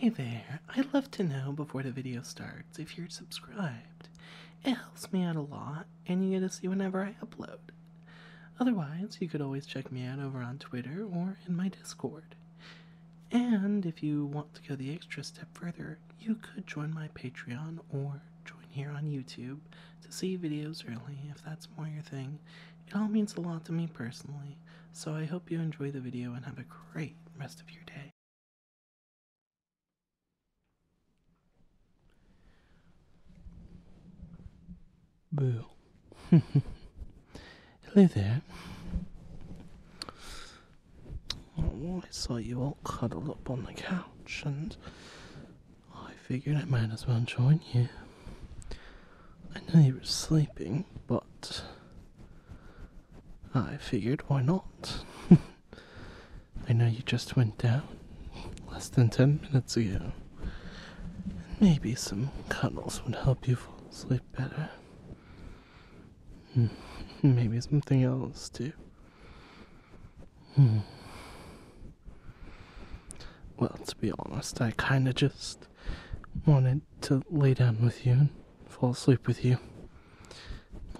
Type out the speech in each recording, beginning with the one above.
Hi there, I'd love to know before the video starts if you're subscribed. It helps me out a lot, and you get to see whenever I upload. Otherwise, you could always check me out over on Twitter or in my Discord. And if you want to go the extra step further, you could join my Patreon or join here on YouTube to see videos early if that's more your thing. It all means a lot to me personally, so I hope you enjoy the video and have a great rest of your day. Boo. Hello there. Oh, I saw you all cuddled up on the couch and I figured I might as well join you. I know you were sleeping, but I figured why not? I know you just went down less than 10 minutes ago. Maybe some cuddles would help you fall asleep better. Hmm, maybe something else too. Hmm. Well, to be honest, I kinda just wanted to lay down with you and fall asleep with you.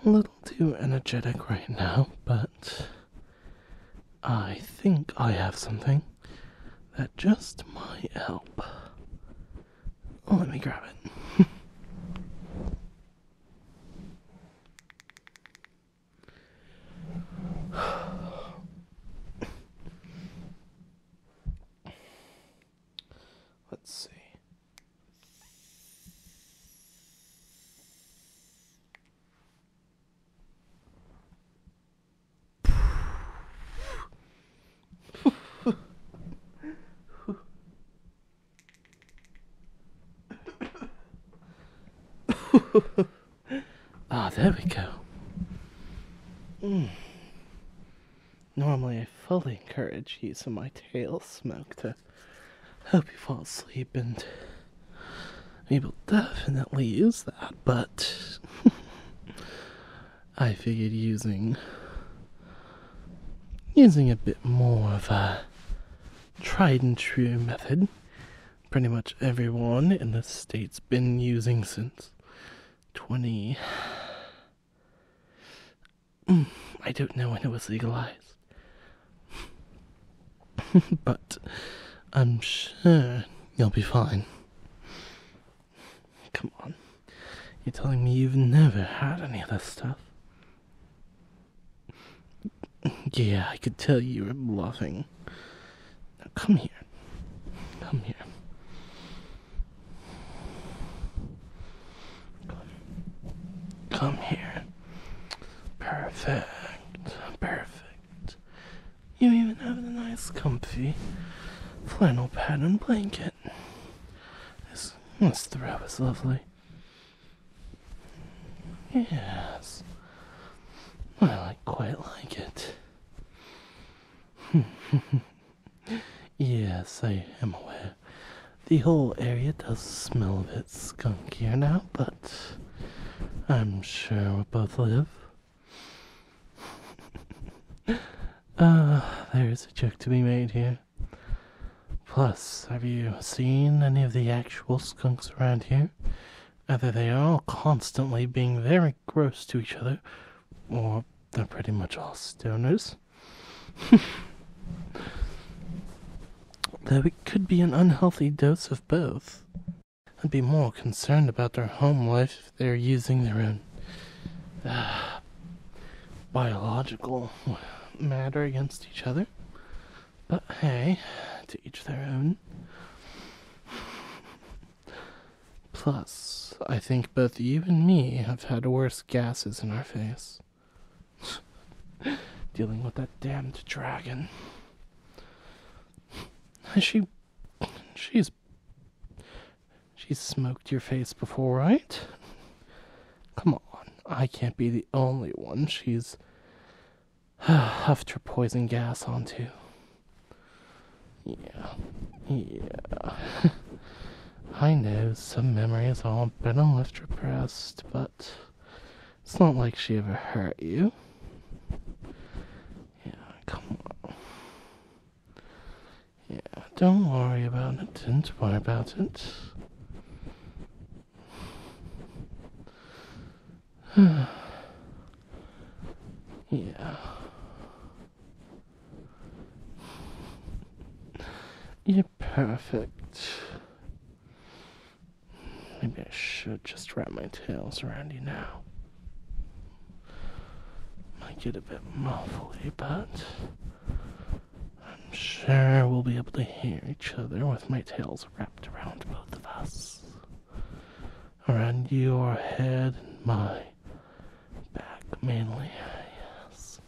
A little too energetic right now, but I think I have something that just might help. Let me grab it. Let's see. ah, there we go. Hmm. Normally, I fully encourage use of my tail smoke to help you fall asleep, and we will definitely use that, but I figured using using a bit more of a tried and true method pretty much everyone in the state's been using since 20 I don't know when it was legalized. but I'm sure you'll be fine. Come on. You're telling me you've never had any of that stuff? Yeah, I could tell you were bluffing. Now come here. Come here. Come, here. Perfect. Perfect. You even have a nice, comfy flannel pattern blanket. This, this throw is lovely. Yes. I like, quite like it. yes, I am aware. The whole area does smell a bit skunkier now, but I'm sure we'll both live. Ah, there is a joke to be made here. Plus, have you seen any of the actual skunks around here? Either they are all constantly being very gross to each other, or they're pretty much all stoners. Though it could be an unhealthy dose of both. I'd be more concerned about their home life if they're using their own uh, biological matter against each other. But hey, to each their own. Plus, I think both you and me have had worse gases in our face. Dealing with that damned dragon. She. She's. She's smoked your face before, right? Come on, I can't be the only one she's huffed her poison gas onto. Yeah. Yeah. I know some memories are been and left repressed, but it's not like she ever hurt you. Yeah, come on. Yeah, don't worry about it. Don't worry about it. yeah. You're perfect. Maybe I should just wrap my tails around you now. Might get a bit muffly, but I'm sure we'll be able to hear each other with my tails wrapped around both of us. Around your head and mine, back mainly. Yes.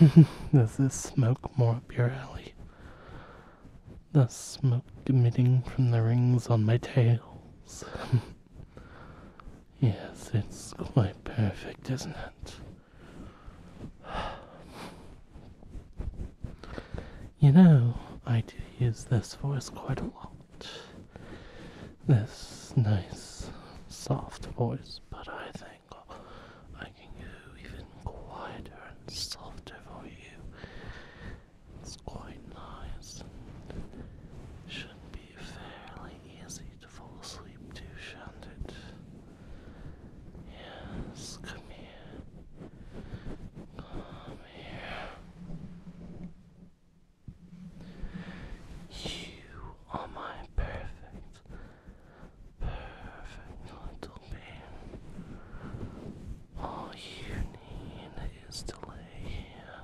Does this smoke more up your alley? The smoke emitting from the rings on my tails. yes, it's quite perfect, isn't it? You know, I do use this voice quite a lot this nice soft voice, but I think I can go even quieter and softer for you. It's quite nice and should be fairly easy to fall asleep to, shouldn't it? Yes, come here. Come here. You are my perfect, perfect little being. All you need is to lay here,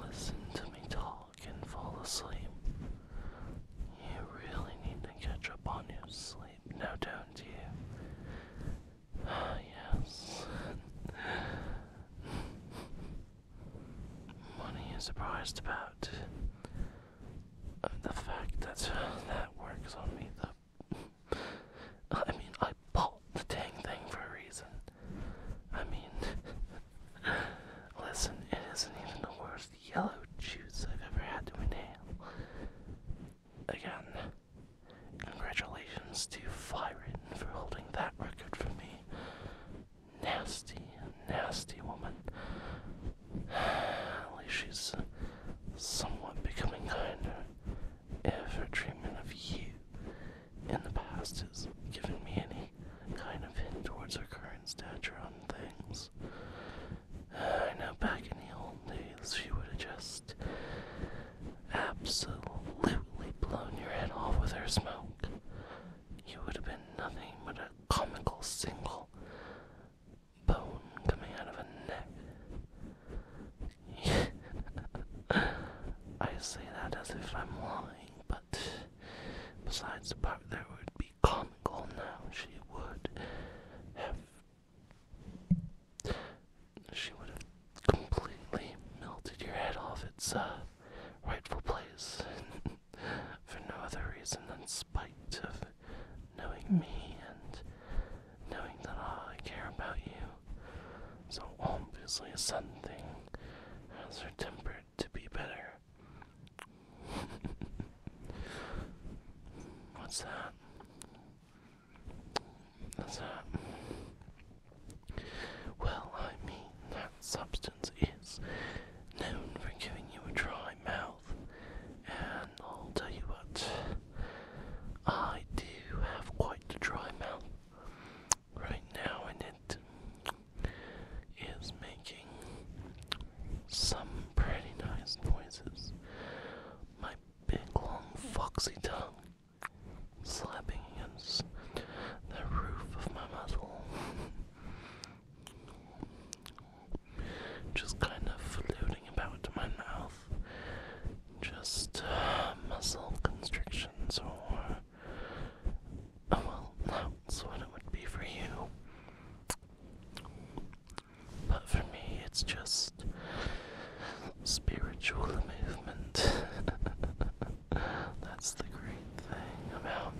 listen to me talk, and fall asleep. You really need to catch up on your sleep, now don't you? yes. What are you surprised about? Uh, the fact that uh, that works on me, the. I mean, I bought the dang thing for a reason. I mean, listen, it isn't even the worst yellow juice I've ever had to inhale. Again, congratulations to Fyron for holding that record for me nasty, nasty woman. At least she's somewhat becoming kinder if her treatment of you in the past has given me any kind of hint towards her current stature on things. Uh, I know back in the old days she would have just absolutely blown your head off with her smoke, you would have been nothing but a comical single bone coming out of a neck. I say that as if I'm lying, but besides the part that would be comical now, she would have. She would have completely melted your head off its uh, rightful place for no other reason than spite of knowing me and knowing that I care about you. So obviously something has her temper to be better. What's that? That's that. Well, I mean, that substance is known for giving you a dry mouth, and I'll tell you what, I do have quite a dry mouth right now, and it is making some pretty nice noises. My big long foxy tongue slapping against the roof of my mouth, Just kind of floating about in my mouth. Just uh, muscle constrictions, or. Oh, well, that's what it would be for you. But for me, it's just spiritual movement. That's the great thing about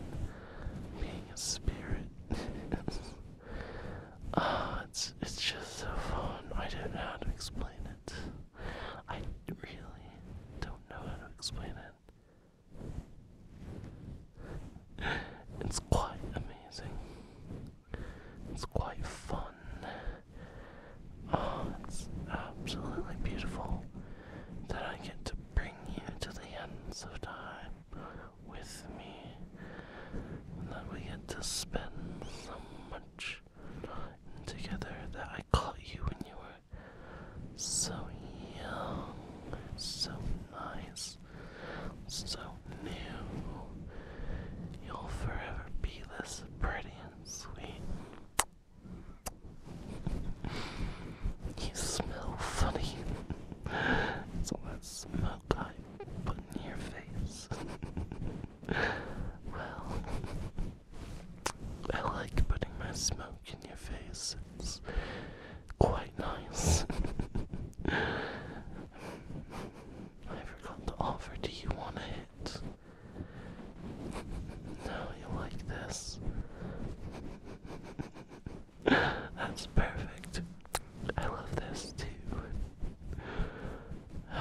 being a spirit. Ah, it's it's just so fun. I don't know how to explain it. I really don't know how to explain it. It's quite amazing. It's quite fun. Oh, it's absolutely beautiful that I get to bring you to the ends of time with me, and that we get to spend so much together. That I caught you when you were so young, so nice, so new. You'll forever be this pretty and sweet. You smell funny. it's all that smoke I put in your face. well, I like putting my smoke in your face. quite nice. I forgot to offer. Do you want a no, you like this. That's perfect. I love this too. I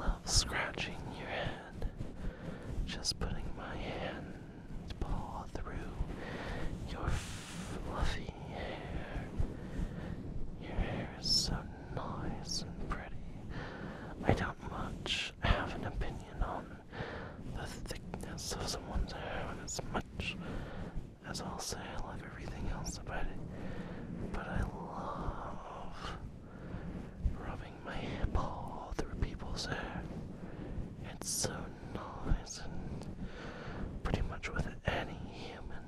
love scratching your head. Just putting my hand paw through your fluffy your hair is so nice and pretty. I don't much have an opinion on the thickness of someone's hair as much as I'll say I love everything else about it. But I love rubbing my hip all through people's hair. It's so nice and pretty much with any human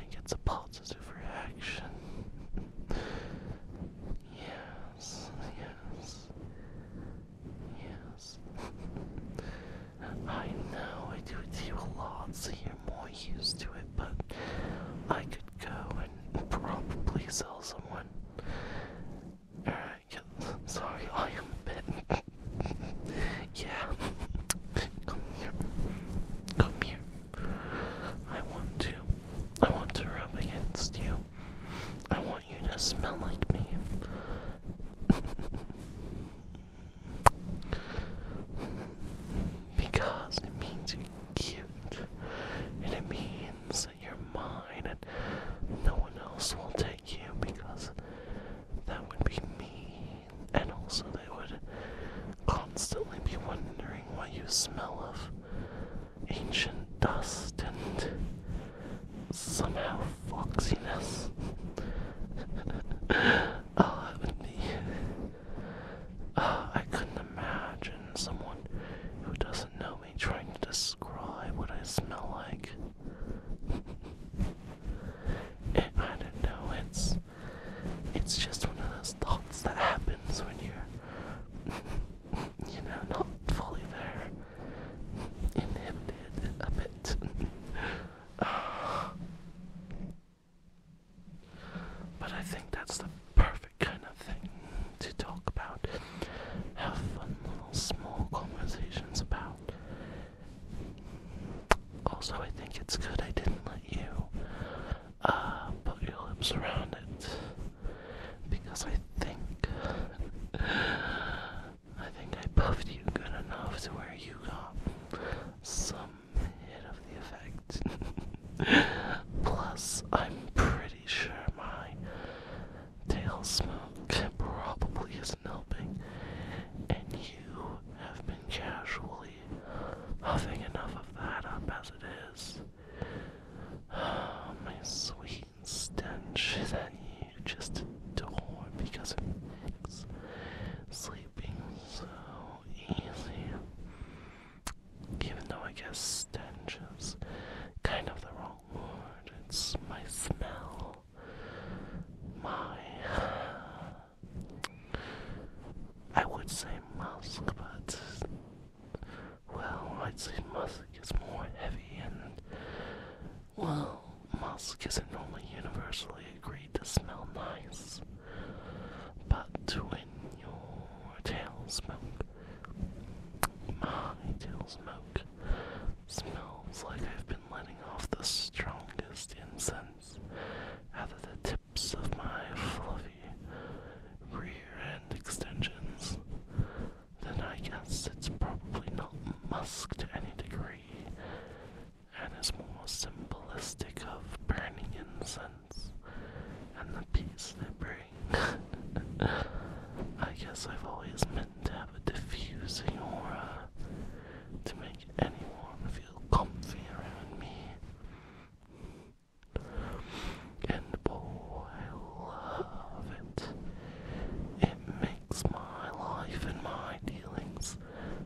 it gets a positive reaction. yes, yes, yes. I know I do it to you a lot, so you're more used to it, but I could go and probably sell someone. Alright, sorry, I am a yeah. Come here. Come here. I want to. I want to rub against you. I want you to smell like me. because it means you're cute. And it means that you're mine and no one else will take you because that would be mean, and also they would constantly be wondering why you smell of ancient dust and somehow foxiness. Oh, oh, I couldn't imagine someone who doesn't know me trying to describe what I smell like. I don't know, it's it's just one of those thoughts that happens when you're you know, not fully there. Inhibited a bit. but I think that's the perfect kind of thing to talk about. Have fun little small conversations about also, I think it's good I didn't let you uh, put your lips around it because I think I think I puffed you good enough to where you got some hit of the effect. Plus, I'm pretty sure my tail smoke probably isn't helping, and you you have been casually huffing enough of that up as it is. Ah, my sweet stench that you just adore because it sleeping so easy. Even though I guess stench is kind of the wrong word, it's my smell. My I would say musk, but well, I'd say musk is more heavy, and well, musk isn't normally universally agreed to smell nice. But when your tail smoke, my tail smoke, smells like I've been letting off the strongest incense out of the tips of my fluffy rear end extensions, then I guess it's probably not musk to any degree, and is more symbolic of burning incense and the peace they bring. I guess I've always meant to have a diffusing aura to make anyone feel comfy around me. And oh, I love it. It makes my life and my dealings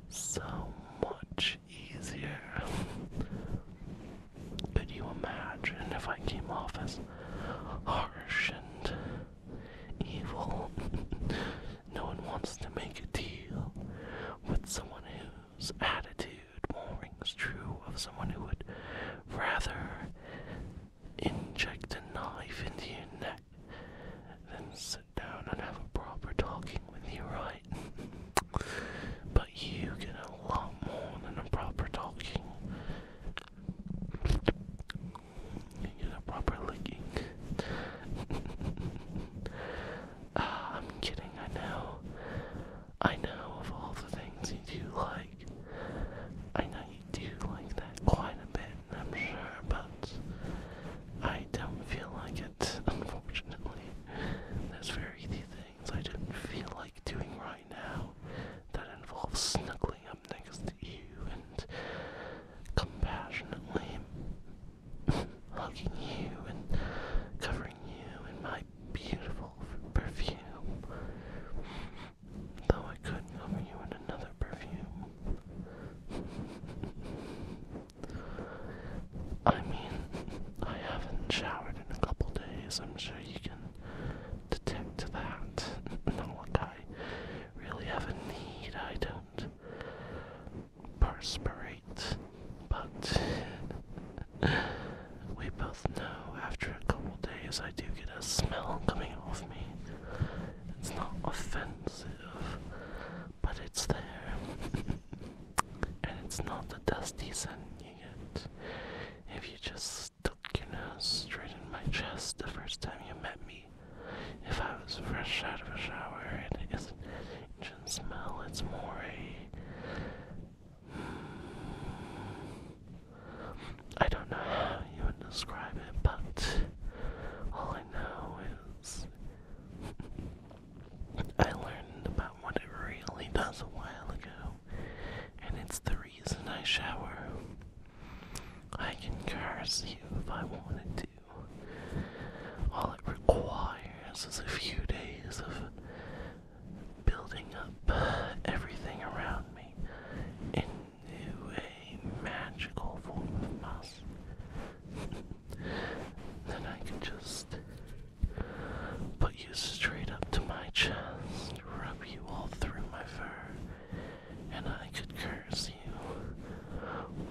so much easier. Could you imagine if I came off as harsh and evil? No one wants to make a deal with someone whose attitude more rings true of someone who would rather inject a knife into your neck than sit down and have a proper talking with you, right? but you get a lot more than a proper talking get a proper licking. Ah, I'm kidding, I know. I know of all the things you do like. I know you do like that quite a bit, I'm sure, but I don't feel like it, unfortunately. There's very few things I didn't feel like doing right now that involves snuggling up next to you and compassionately hugging you and covering you in my beautiful perfume. Though I could cover you in another perfume. I mean, I haven't showered in a couple days. I'm sure you can detect that. Not like I really have a need. I don't Perspire, but we both know after a couple days I do get a smell coming off me. It's not offensive, but it's there. and it's not the dusty scent you get if you just stuck your nose straight in my chest the first time you met me. If I was fresh out of a shower, it isn't an smell, it's more a. I don't know how you would describe it, but all I know is. I learned about what it really does a while ago, and it's the reason I shower. I can curse you if I wanted to. All it requires is a few days of building up everything around me into a magical form of moss. then I can just put you straight up to my chest, rub you all through my fur, and I could curse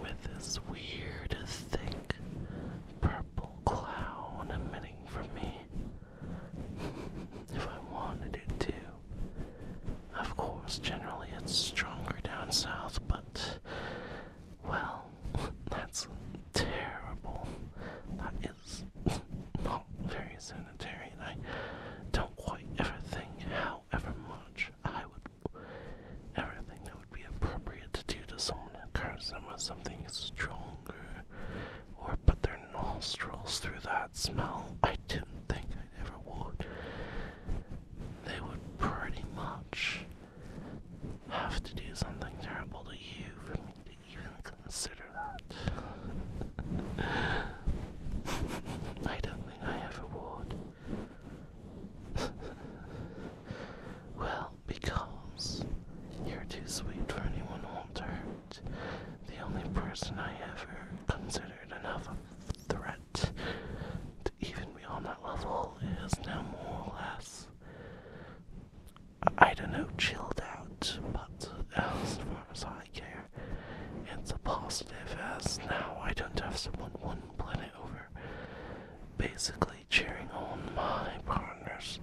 with this weird, thick purple cloud emitting from me. if I wanted it to. Of course, generally it's stronger down south, but. Well, that's terrible. That is not very sanitary, and I don't quite ever think how however much I would. Everything that would be appropriate to do to someone that carves them with something stronger, or put their nostrils through that smell, I didn't think I ever would. They would pretty much have to do something terrible to you for me to even consider that. I don't think I ever would. well, because you're too sweet for anyone older. The only person I ever considered enough of a threat to even be on that level is now more or less, I don't know, chilled out, but as far as I care, it's a positive as now I don't have someone one planet over basically cheering on my partner's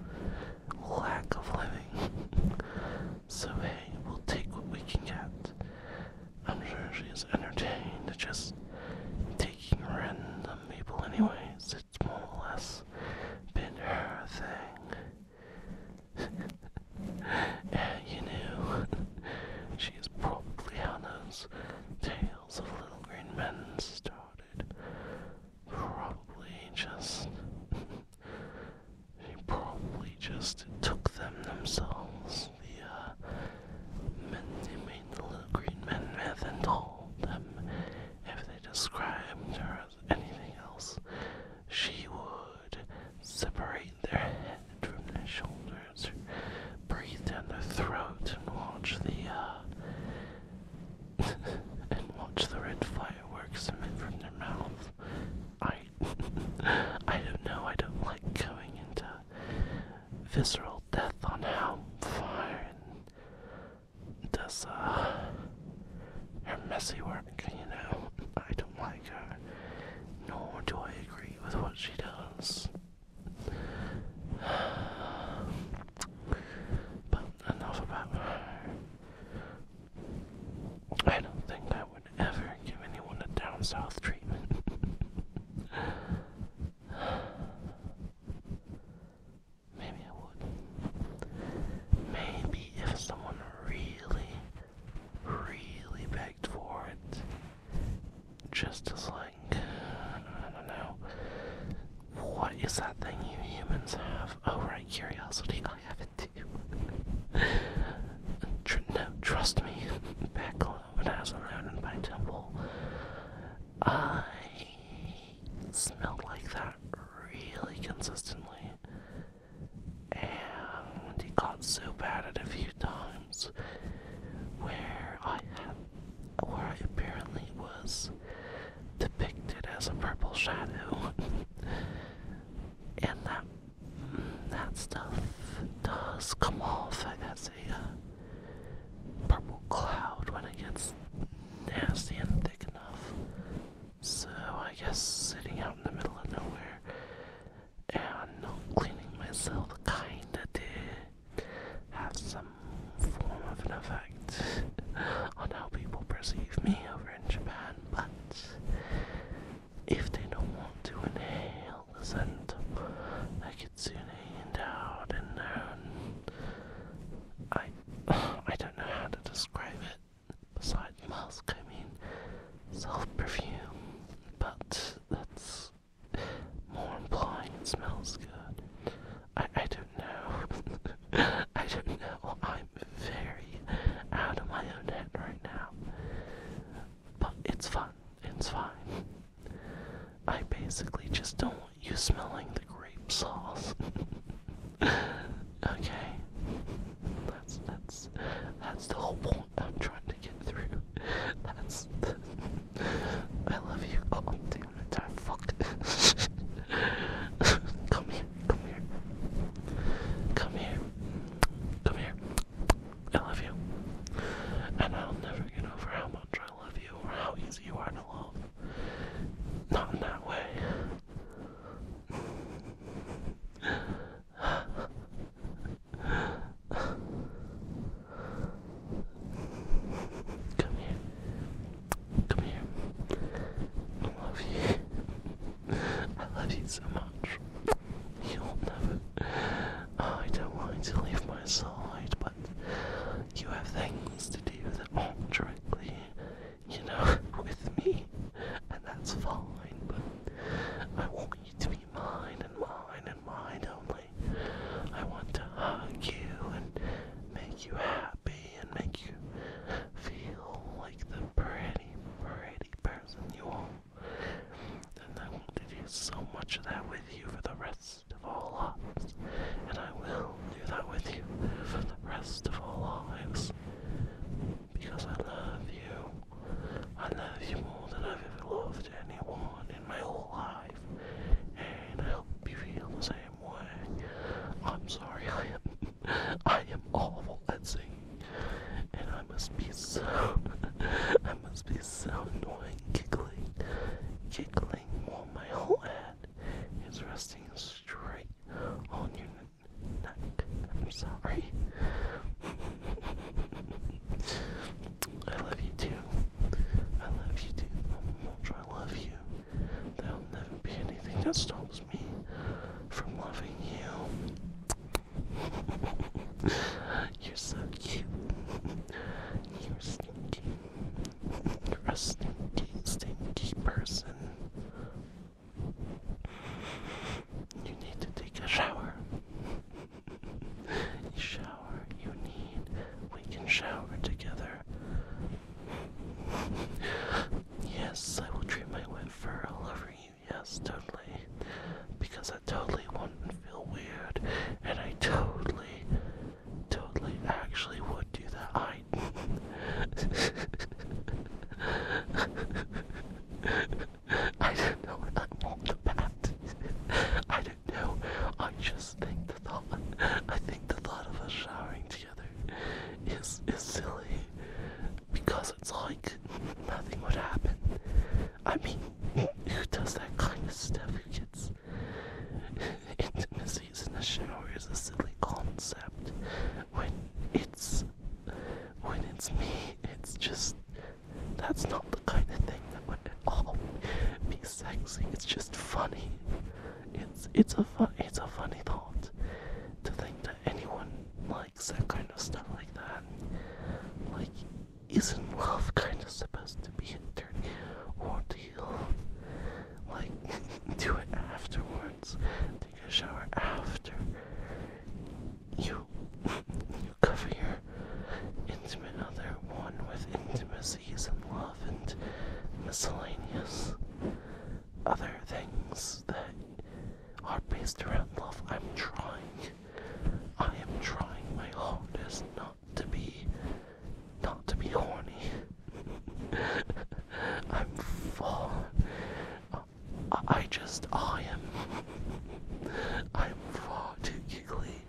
lack of living. so, hey, we'll take what we can get. I'm sure she's entertained just taking random people, anyways. It's more or less been her thing. and you know, she probably how those tales of little green men started. Probably just. she probably just took them themselves. The, uh. Men, they made the little green men myth and told them if they described her as anything else, she would separate Rotate their head from their shoulders, breathe down their throat, and watch the uh, and watch the red fireworks come emit from their mouth. I I don't know. I don't like going into visceral death on how fire and does uh, her messy work. You know, I don't like her. Nor do I agree with what she does. But enough about her. I don't think I would ever give anyone a down south treatment. Maybe I would. Maybe if someone really, really begged for it, just as like I don't know. What is that thing you humans have? Oh right, curiosity. I have it too. no, trust me. Back I was Road and by Temple, I smelled like that really consistently, and it got so bad at a few times where I had where I apparently was depicted as a purple shadow. and that that stuff does come off That's a uh, purple cloud when it gets nasty and thick enough. So I guess sitting out in the middle of nowhere and cleaning myself kinda did have some form of an effect on how people perceive me over in Japan, but if they don't want to inhale the scent I could soon hand out in I I don't know how to describe it. Besides musk, I mean self perfume, but that's more implying smells good. I I don't know. I don't know. I'm very out of my own head right now. But it's fun. It's fine. I basically just don't want you smelling the grape sauce. okay. That's that's that's the whole point I'm trying to get through. That's I love you. Oh, damn it. fuck. come here. Come here. Come here. Come here. I love you. And I'll never get over how much I love you or how easy you are to love. Not in that way. Come here. Come here. I love you. I love you so much. You'll never. Oh, I don't want to leave my side, but you have things to do that aren't directly, you know, with me, and that's fine, but I want you to be mine and mine and mine only. I want to hug you and make you happy and make you feel like the pretty, pretty person you are. And I want to do so much of that with you for the rest of our lives. And I will do that with you for the rest of our lives. Because I love you. I love you more than I've ever loved anyone in my whole life, and I hope you feel the same way. I'm sorry, I am, I am awful at singing, and I must be so, I must be so annoying giggling, giggling while my whole head is resting straight on your neck. I'm sorry. I love you too. I love you too. How much I love you. There'll never be anything that stops me from loving you. You're so cute. You're stinky. You're a stinky, stinky person. You need to take a shower shower you need. We can shower together. yes, I will treat my wet fur all over you. Yes, totally. Because I totally wouldn't feel weird. And I totally, totally actually would do that. I. I don't know what I'm on about. I don't know. I just think the thought. I think the thought of us showering together is is silly because it's like nothing would happen. I mean, who does that kind of stuff? Who gets intimacies in the shower is a silly concept when it's when it's me. It's just that's not the kind of thing that would at all be sexy. It's just funny. It's it's a fun, it's a funny thought to think that anyone likes that kind of stuff like that. Like, isn't love kind of supposed to be a dirty ordeal? Like, do it afterwards. Take a shower after. You, you cover your intimate other one with intimacies and love and miscellaneous other things that are based around love. I'm trying. I am trying my hardest not to be not to be horny. I'm far. I just I am. I'm far too giggly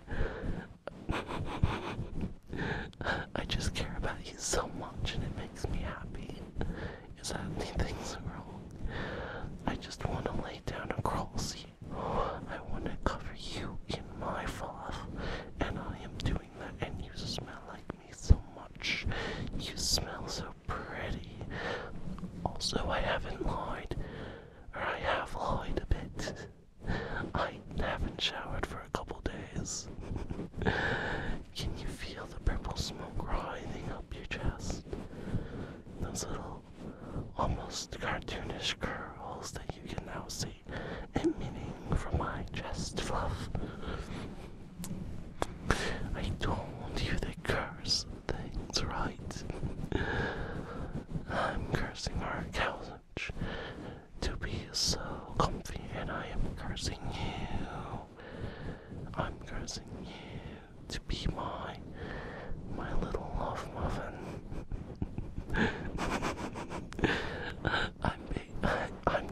I just care about you so much and it makes me happy. Is that anything's wrong? I just want to lay down across you. I want to cover you in my fluff, and I am doing that. And you smell like me so much. You smell so pretty. Also, I haven't lied or I have lied a bit. I haven't showered for a couple days. Can you feel the purple smoke rising up your chest? Those little, almost cartoonish curls that you can now see emanating from my chest fluff. I told you they curse things, right? I'm cursing our couch to be so comfy, and I am cursing you. I'm cursing you to be my my little love muffin. I'm I'm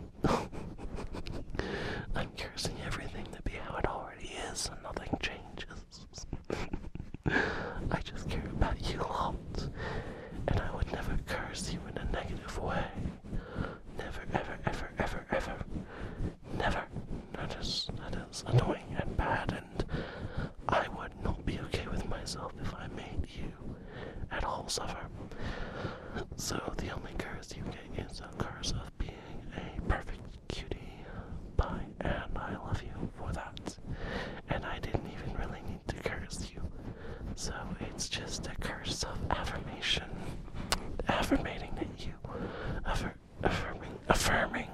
I'm cursing everything to be how it already is, and nothing changes. I just care about you a lot, and I would never curse you in a negative way. Never, ever, ever, ever, ever. Never. That is, that is annoying and bad, and I would not be okay with myself if I made you at all suffer. So the only curse you get is a curse of being a perfect cutie. Bye, and I love you for that. And I didn't even really need to curse you. So it's just a curse of affirmation. Affirmating that you affirming affirming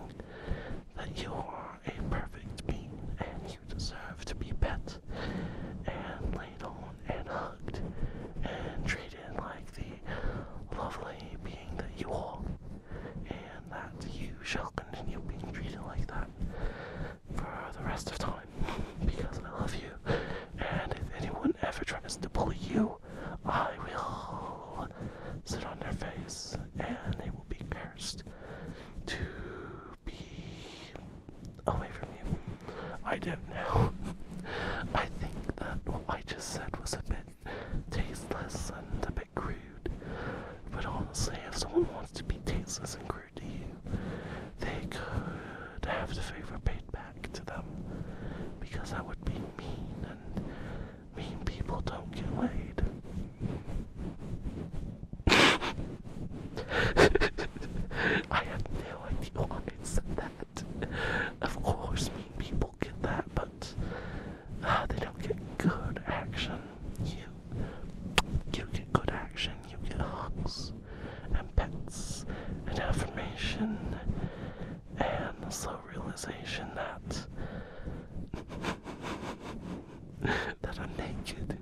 that you are a perfect being and you deserve to be pet and laid on and hugged and treated like the lovely being that you are and that you shall continue being treated like that for the rest of time because I love you. And if anyone ever tries to bully you, I will sit on their face and they will be cursed to be away from you. I don't know. I think that what I just said was a bit tasteless and a bit crude. But honestly, if someone wants to be tasteless and crude to you, they could have the favor paid back to them. Because that would be mean, and mean people don't get laid. I had no idea why I that. Of course, mean people get that, but but ah, they don't get good action. You, you get good action. You get hugs and pets and affirmation and the slow realization that that I'm naked.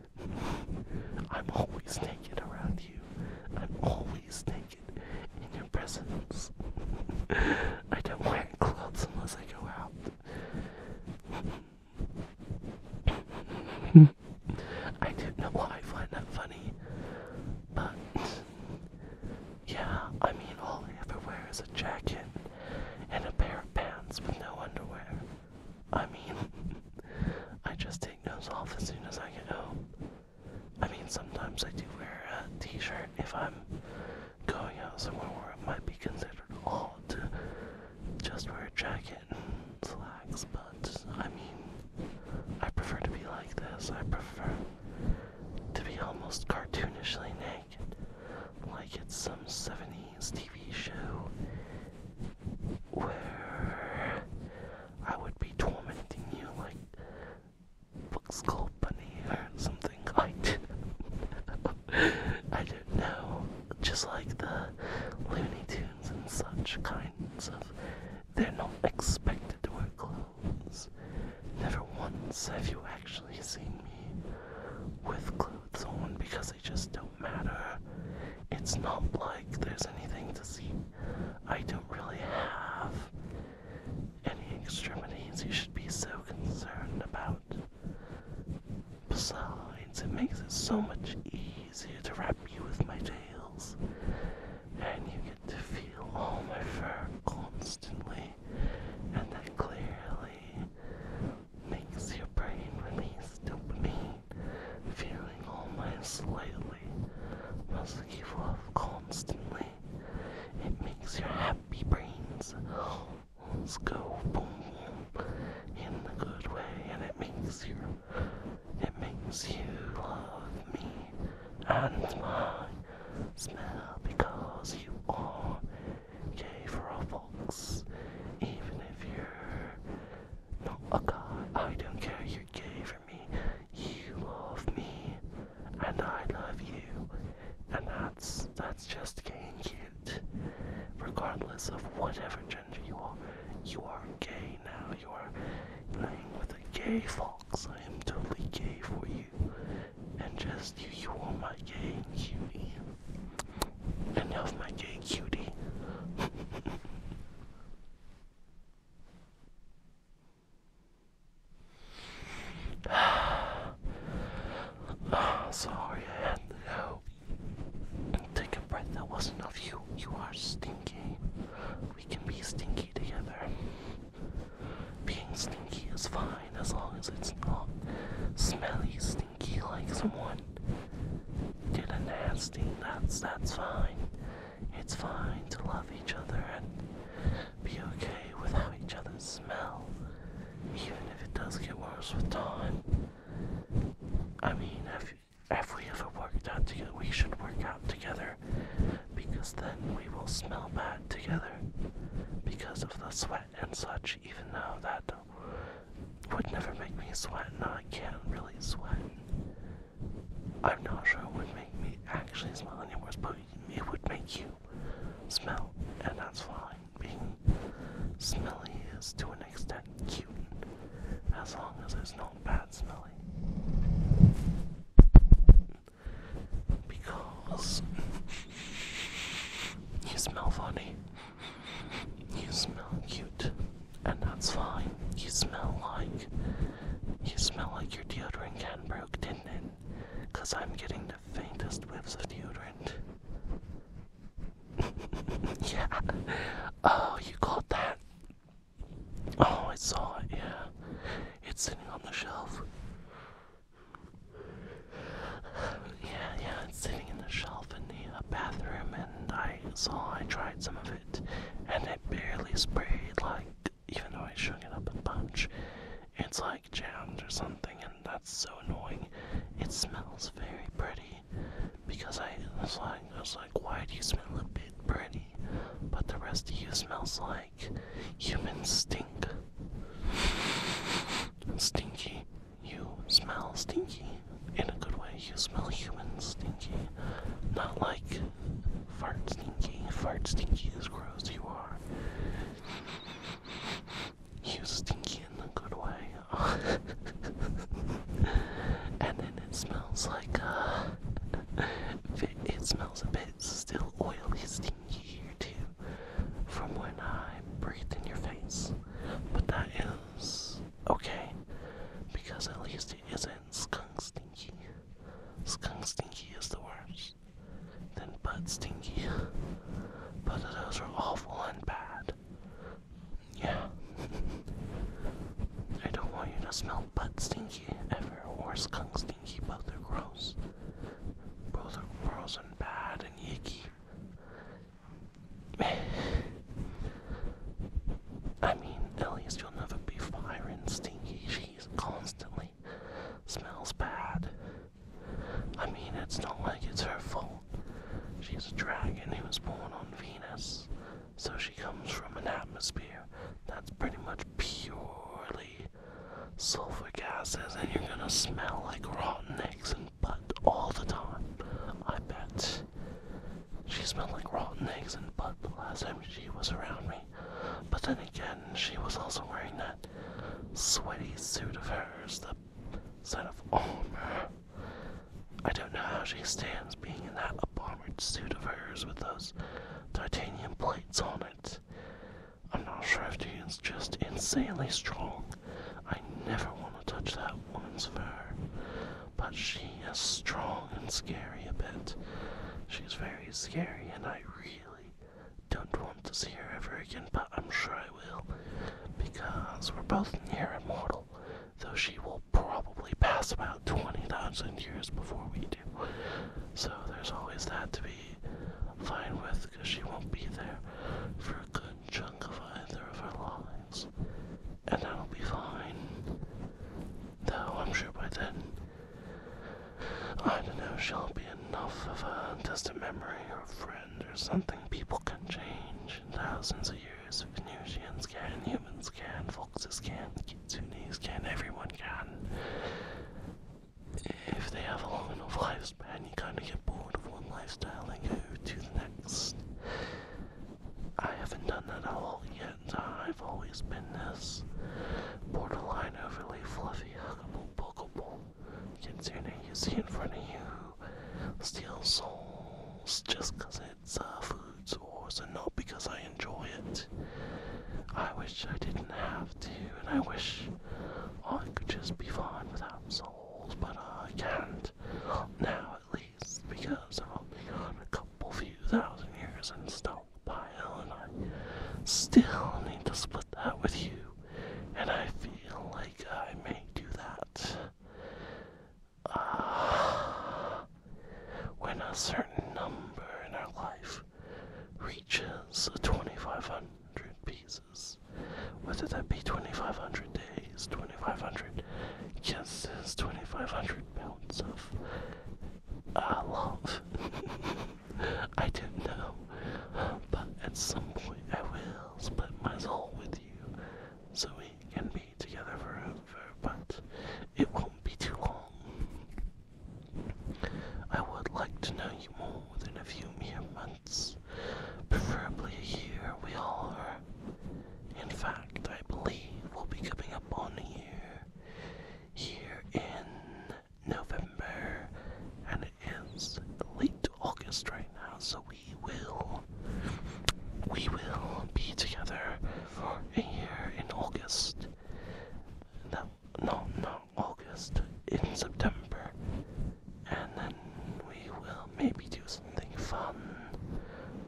I'm always naked around you. I'm always naked in your presence. I don't wear clothes unless I go out. I don't know why I find that funny, but yeah, I mean, all I ever wear is a jacket and a pair of pants with no underwear. I mean, I just take those off as soon as I get home. I mean, sometimes I do wear a t shirt if I'm going out somewhere where it might be considered odd to just wear a jacket and slacks, but I mean, I prefer to be like this. I prefer to be almost cartoonishly naked, like it's some 70s TV show where I would be tormenting you like Books Club company or something. I don't, I don't know. Just like the Looney Tunes and such kinds of. They're not expected to wear clothes. Never once have you actually seen me with clothes on because they just don't matter. It's not like there's anything to see. I don't really have any extremities you should be so concerned about. Besides, it makes it so much easier to wrap you with my tails, and you get to feel all my fur constantly, and that clearly makes your brain release dopamine, feeling all my slightly musky fluff constantly. It makes your happy brains Let's go boom in the good way, and it makes you, it makes you love me and my smell because you are gay for a fox, even if you're not a guy. I don't care. You're gay for me. You love me, and I love you, and I that's that's just gay and cute. Regardless of whatever gender you are, you are gay now. You are playing with a gay fox. I am totally gay for you. And just you you are my gay and cutie. Enough my gay cutie. Oh, sorry, I had to go. Take a breath. That wasn't of you. You are stinky. We can be stinky together. Being stinky is fine as long as it's not smelly, stinky like someone did a nasty. That's that's fine. It's fine to love each other and be okay with how each other smell even if it does get worse with time. I mean, if you, we ever worked out together? We should work out together, because then we will smell bad together, because of the sweat and such. Even though that would never make me sweat, and I can't really sweat. I'm not sure it would make me actually smell any worse, but it would make you smell, and that's fine being smelly is to an extent cute, as long as it's not bad smelly. Because you smell funny, you smell cute, and that's fine. You smell like you smell like your deodorant can broke, didn't it? Cause I'm getting faintest whiffs of deodorant. yeah. Oh, you caught that. Oh, I saw it, yeah. It's sitting on the shelf. Yeah, yeah, it's sitting in the shelf in the uh, bathroom, and I saw I tried some of it, and it barely sprayed, like, even though I shook it up a bunch. It's like, like or something, and that's so annoying. It smells very pretty because I was like, why do you smell a bit pretty, but the rest of you smells like human stink. Stinky, you smell stinky in a good way. You smell human stinky, not like fart stinky. Fart stinky as gross. You are. You was stinky in a good way. and then it smells like uh it, it smells a bit still oily stinky here too from when I breathed in your face. But that is okay. Because at least it isn't skunk stinky. Skunk stinky is the worst worse than Bud Stinky. Both of those were awful and bad. Yeah. I don't want you to smell Bud Stinky ever or Skunk Stinky. Both are gross. Both are gross and bad and icky. I mean, at least you'll never be firing stinky. She's constantly smells bad. I mean, it's not like it's her fault. She's a dragon who was born on Venus, so she comes from an atmosphere that's pretty much purely sulfur gases, and you're gonna smell like rotten eggs and butt all the time. I bet. She smelled like rotten eggs and butt the last time she was around me. But then again, she was also wearing that sweaty suit of hers, the sign of armor. I don't know how she stands being in that armored suit of hers with those titanium plates on it. I'm not sure if she's just insanely strong. I never want to touch that woman's fur. But she is strong and scary a bit. She's very scary, and I really, don't want to see her ever again, but I'm sure I will, because we're both near immortal, though she will probably pass about 20,000 years before we do. So there's always that to be fine with, because she won't be there for a good chunk of either of our lives. And that'll be fine. Though I'm sure by then, I don't know, she'll be enough of a distant memory or friend there's something people can change. thousands of years, Venusians can, humans can, foxes can, kitsunes can, everyone can. If they have a long enough lifespan, you kind of get bored of one lifestyle and go to the next. I haven't done that a lot yet. I've always been this borderline overly fluffy, huggable, bookable concerning you see in front of you. Steal souls just because it's a uh, food source and not because I enjoy it. I wish I didn't have to, and I wish I could just be fine without souls, but I can't. Now, at least, because I've only got a couple few thousand years in stockpile, and I still need to split that with you, and I feel like I may do that uh, when a certain number in our life reaches 2,500 pieces. Whether that be 2,500 days, 2,500 kisses, 2,500 pounds of uh, love. I don't know, but at some point I will split my soul with you so we can be together forever, but it won't be too long. I would like to know you more than a few mere months, preferably a year, we are. In fact, I believe we'll be coming up on a year here in November, and it is late August right now, so we will we will be together for a year in August. No, no, not August, in September. And then we will maybe do something fun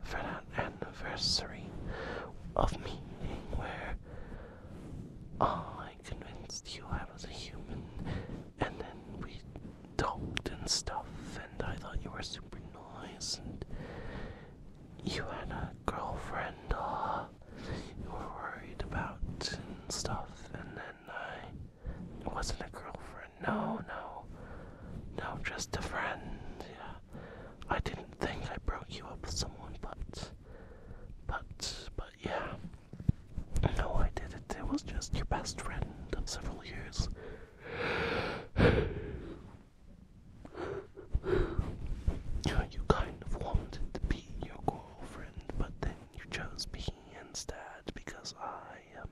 for that anniversary of meeting where I I convinced you I was a human, and then we talked and stuff, and I thought you were super nice, and you had a girlfriend uh, you were worried about and stuff, and then I. wasn't a girlfriend, no, no. No, just a friend, yeah. I didn't think I broke you up with someone, but. But, but yeah, no, I did it. It was just your best friend of several years. You kind of wanted to be your girlfriend, but then you chose me instead because I am.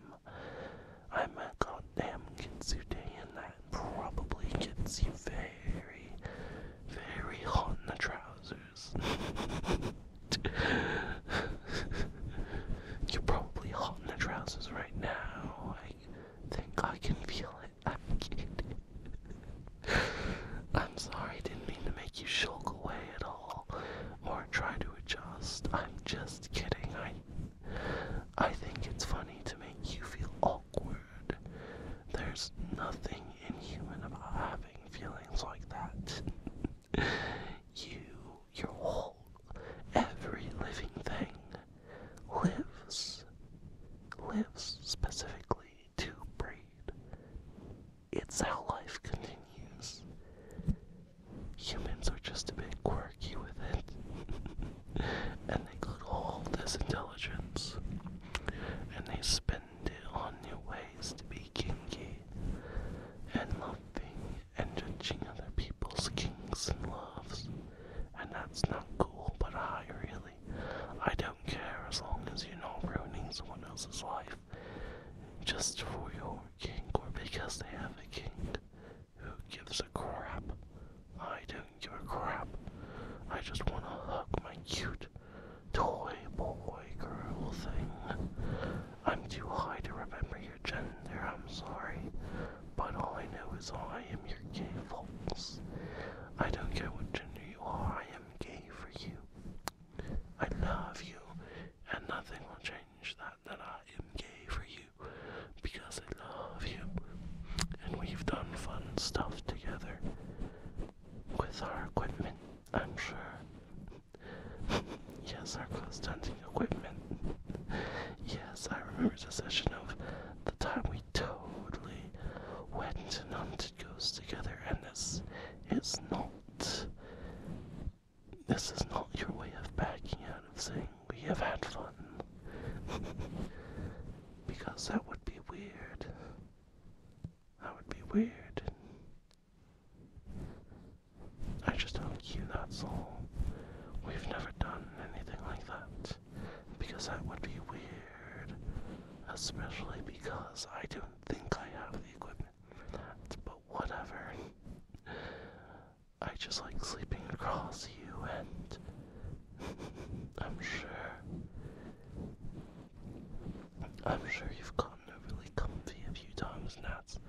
I'm a goddamn kitsune, and that probably gets you very, very hot in the trousers. You're probably hot in the trousers right now. I think I can feel it. I'm kidding. I'm sorry, didn't mean to make you shulk away at all or try to adjust. I'm just kidding. I I think it's funny to make you feel awkward. There's nothing inhuman about having feelings like that. You, your whole, every living thing lives, lives specifically to breed. It's how life continues. Humans are just a bit quirky with it. and they could hold this intelligence and they spend on new ways to be kinky and loving and judging other people's kinks and loves. And that's not cool, but I really, I don't care as long as you're not ruining someone else's life just for your kink or because they have a kink. Who gives a crap? I don't give a crap. I just want to hug my cute, toy boy girl thing. I'm too high to remember your gender, I'm sorry, but all I know is I am your gay folks. I don't care what gender you are, I am gay for you. I love you, and nothing will change that, that I am gay for you, because I love you, and we've done fun stuff together with our equipment, I'm sure. yes, our close hunting equipment. yes, I remember the session of the time we totally went and hunted ghosts together, and this is not. This is not your way of backing out of saying we have had fun. because that would be weird. That would be weird. I just don't you, that's all. We've never done anything like that. Because that would be weird. Especially because I don't think I have the equipment for that, but whatever. I just like sleeping across you, and I'm sure I'm sure you've gotten overly comfy a few times, and that's,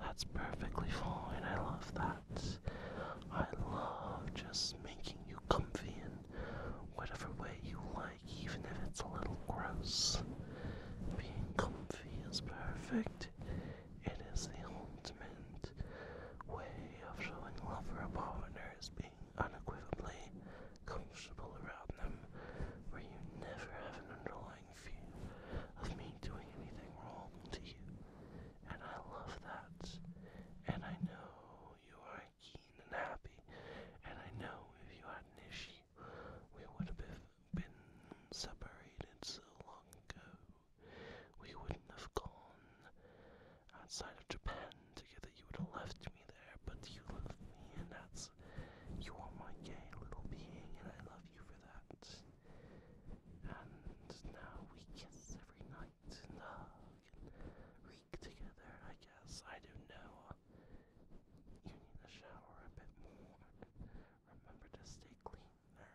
that's perfectly fine. I love that. I love just making you comfy in whatever way you like, even if it's a little gross. Being comfy is perfect. It is the ultimate way of showing love for a partner, is being unequivocally comfortable around them, where you never have an underlying fear of me doing anything wrong to you. And I love that. And I know you are keen and happy. And I know if you had an issue, we would have been separated so long ago. We wouldn't have gone outside of Japan together. You would have left me there, but you love me, and that's you are my gay little being, and I love you for that. And now we kiss every night and hug and reek together, I guess. I don't know. Uh, you need to shower a bit more. Remember to stay clean, nerd.